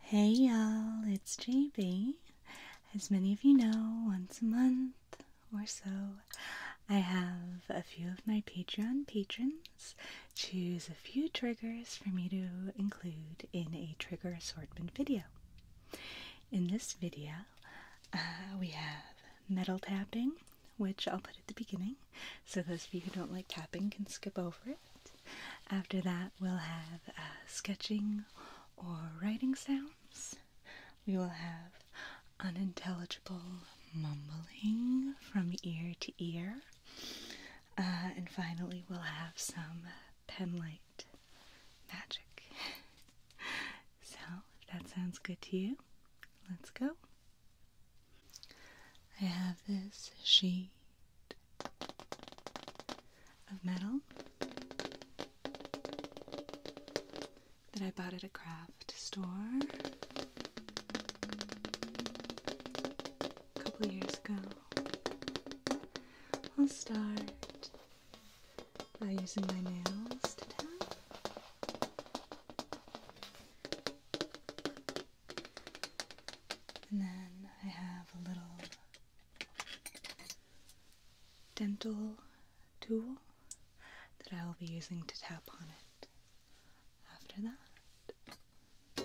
Hey y'all, it's JB. As many of you know, once a month or so, I have a few of my Patreon patrons choose a few triggers for me to include in a trigger assortment video. In this video, uh, we have metal tapping, which I'll put at the beginning, so those of you who don't like tapping can skip over it. After that, we'll have uh, sketching or writing sounds. We will have unintelligible mumbling from ear to ear. Uh, and finally, we'll have some penlight magic. so, if that sounds good to you, let's go. I have this sheet of metal that I bought at a craft store a couple years ago. I'll start by using my nails to tap. And then I have a little dental tool that I will be using to tap on it after that.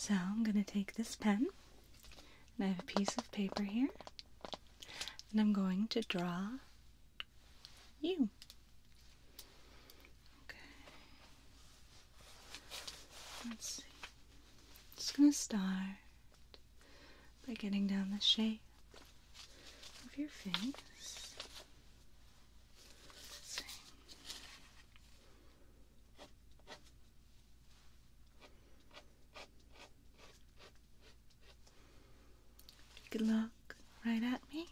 So I'm going to take this pen, and I have a piece of paper here, and I'm going to draw you. Okay. Let's see. Just gonna start by getting down the shape of your face. Let's see. Good luck. right at me.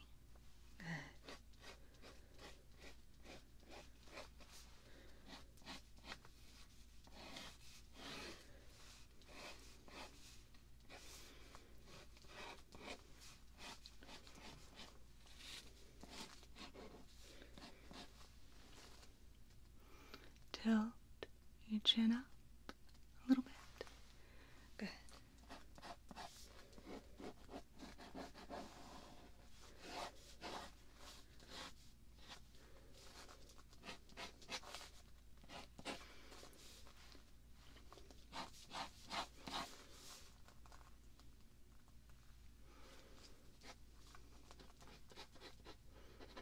Till your chin up a little bit. Good.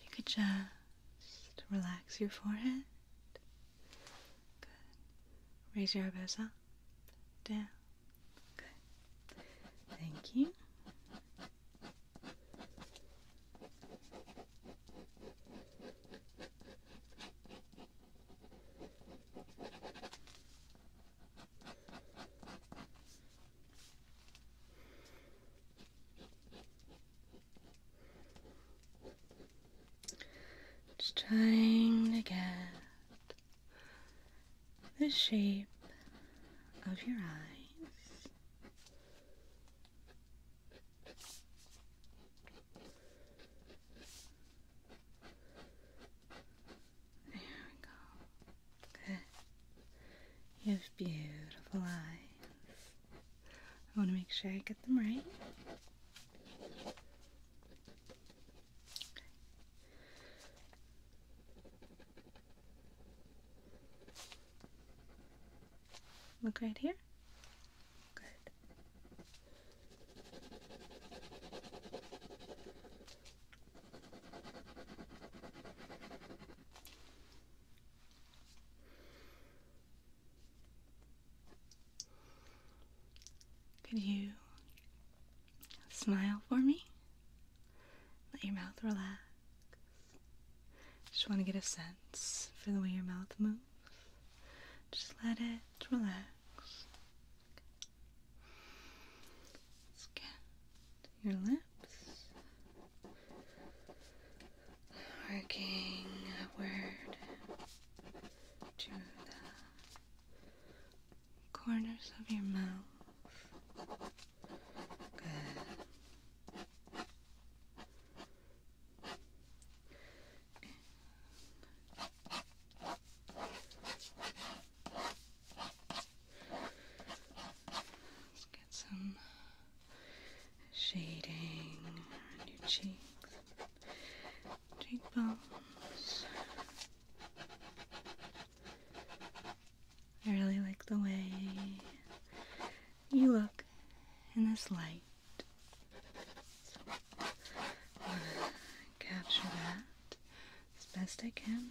you could just relax your forehead Raise your elbows up. Down. Good. Thank you. It's trying to get the shape of your eyes. There we go. Good. You have beautiful eyes. I want to make sure I get them right. Look right here. Good. Could you smile for me? Let your mouth relax. Just want to get a sense for the way your mouth moves. Just let it relax. let your lips working word to the corners of your mouth. Let's get some shading around your cheeks, cheekbones. I really like the way you look in this light. capture that as best I can.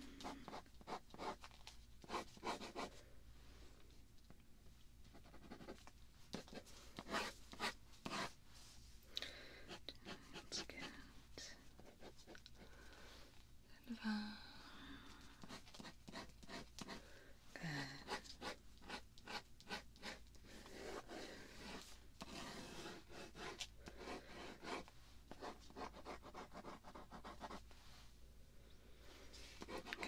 Let's get and uh, Okay.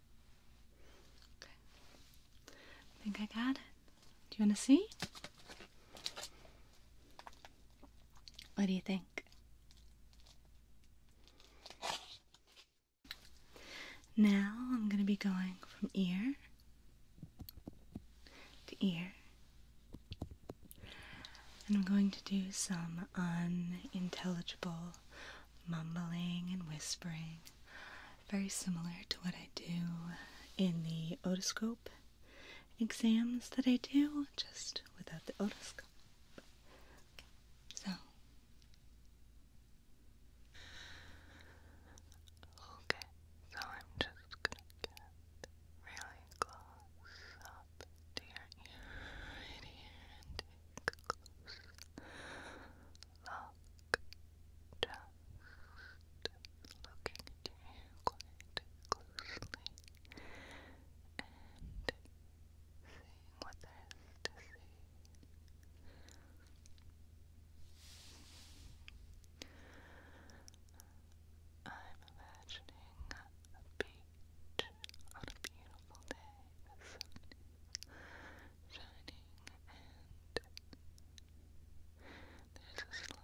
I think I got it. Do you want to see? What do you think? Now I'm going to be going from ear to ear. And I'm going to do some unintelligible mumbling and whispering, very similar to what I do in the otoscope exams that I do, just without the otoscope. So, okay, so I'm just gonna get really close to your ear right here take a looking closely and seeing what there is to see. I'm imagining a bee on a beautiful day. The sun is shining and there's a slight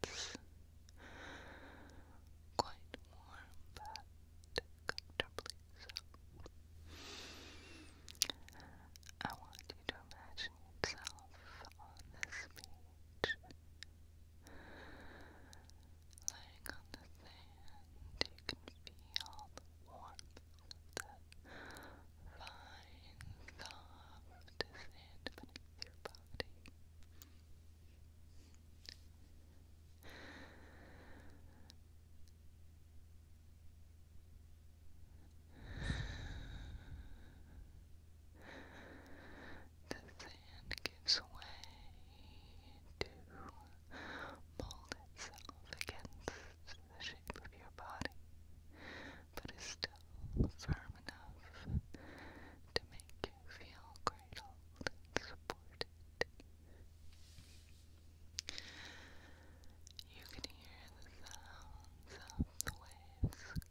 breeze. It's quite warm but comfortably so. I want you to imagine yourself on this beach Lying on the sand, you can feel the warmth of the fine, soft sand beneath your body. The sand gives way to mold itself against the shape of your body, but is still firm enough to make you feel cradled supported. You can hear the sounds of the waves crashing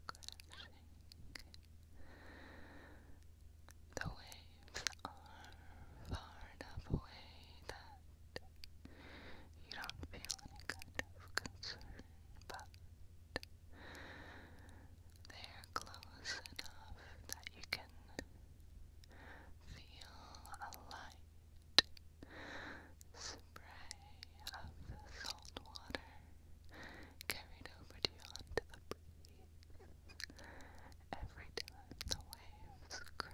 the waves are far enough away that you don't feel any kind of concern, but they are close enough that you can feel a light spray of the salt water carried over to you onto the breeze Every time the waves crash,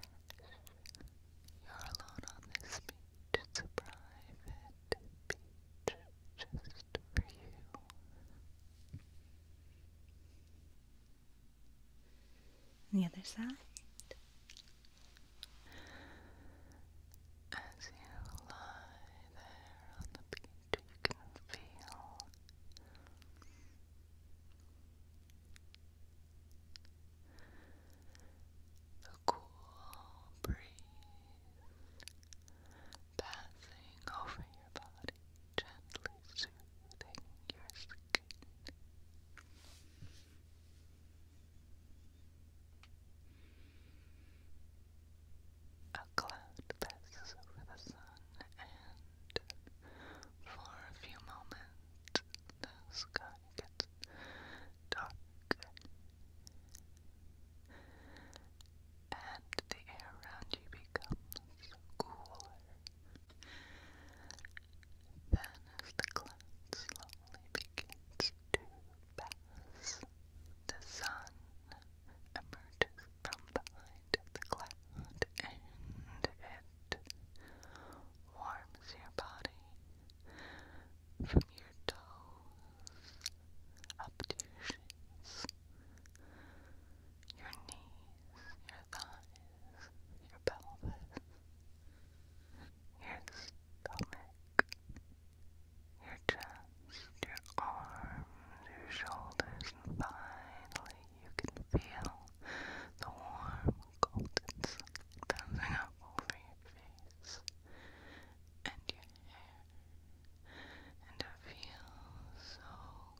you're alone on this beach. It's a private beach just for you. the other side. As you lie there on the beach, you can feel the cool breeze passing over your body, gently soothing your skin. A cloud passes over the sun and for a few moments. The sky gets dark, and the air around you becomes cooler. Then, as the clouds slowly begins to pass, the sun emerges from behind the cloud and it warms your body from your toes up to your shins, your knees, your thighs, your pelvis, your stomach, your chest your arms, your shoulders, and finally you can feel the warm golden sun bouncing up over your face and your hair, and it feels so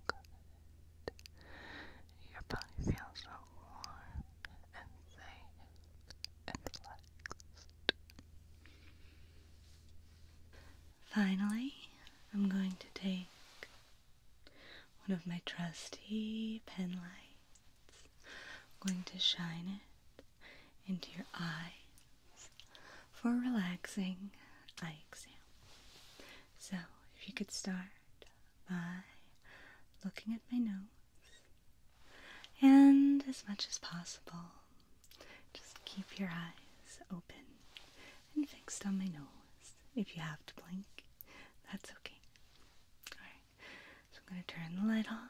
good. Your body feels so warm and safe and relaxed. Finally, I'm going to take one of my trusty penlights. I'm going to shine it into your eyes for a relaxing eye exam. So, if you could start by looking at my nose and as much as possible, just keep your eyes open and fixed on my nose. If you have to blink, that's okay. Alright, so I'm going to turn the light on,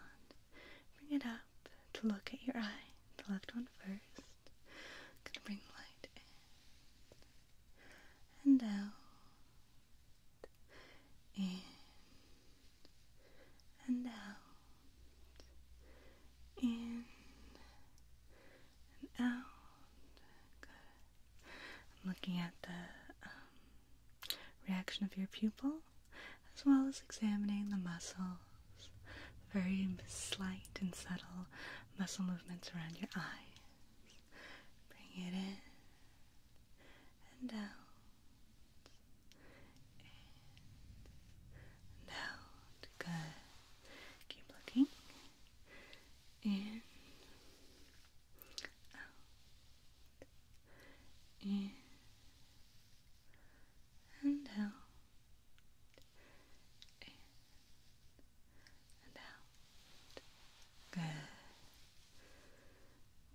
bring it up to look at your eye, the left one first. I'm going to bring the light in and out, in and out in and out. Good. looking at the um, reaction of your pupil as well as examining the muscles, very slight and subtle muscle movements around your eyes. Bring it in and out. And out. Good. Keep looking. In. Out. In. And out. In. And out. Good.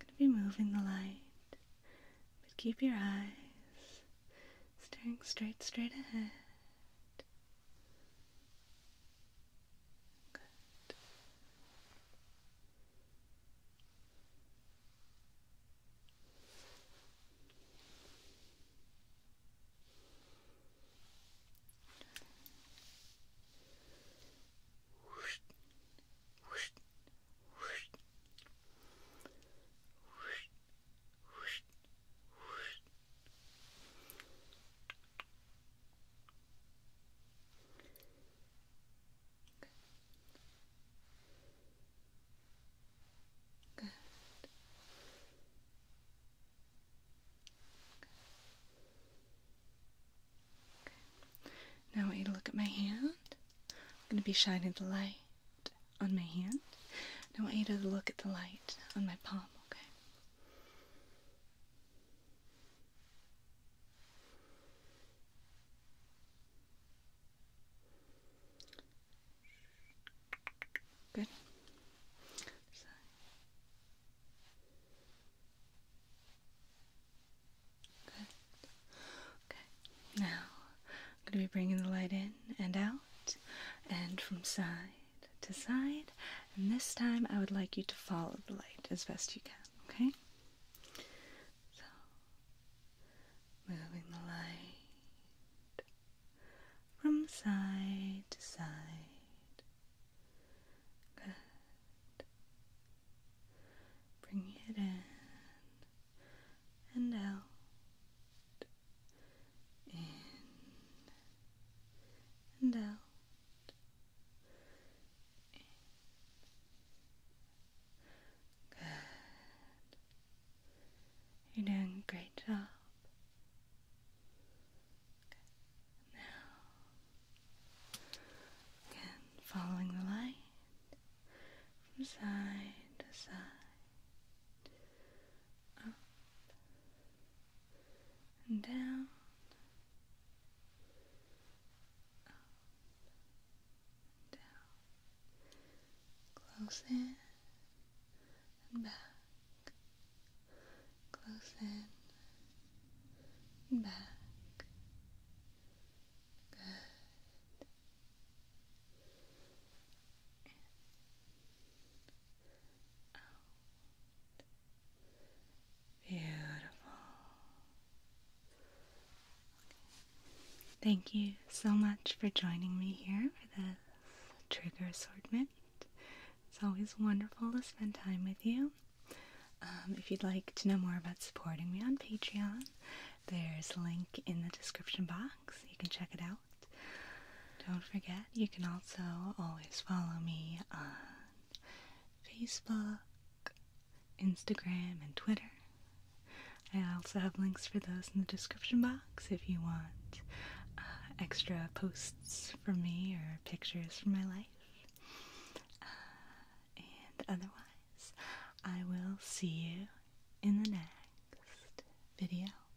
I'm going to be moving the light, but keep your eyes staring straight, straight ahead. Good. Whoosh, whoosh, whoosh, whoosh, Whoosh, whoosh. Good. Now I want you to look at my hand. I'm going to be shining the light on my hand. I want you to look at the light on my palm, okay? Good. Good. Okay. Now I'm going to be bringing the light in and out and from side to side. And this time I would like you to follow the light as best you can, okay? So, moving the light from side to side. Bring it in and out in and out. Good. You're doing a great job. Good. Now, again, following the light from side to side, up and down, up, down, close in back, close in back. Good. Beautiful. Thank you so much for joining me here for this trigger assortment. It's always wonderful to spend time with you. Um, if you'd like to know more about supporting me on Patreon, there's a link in the description box. You can check it out. Don't forget, you can also always follow me on Facebook, Instagram, and Twitter. I also have links for those in the description box if you want uh, extra posts from me or pictures from my life. Uh, and otherwise, I will see you in the next video.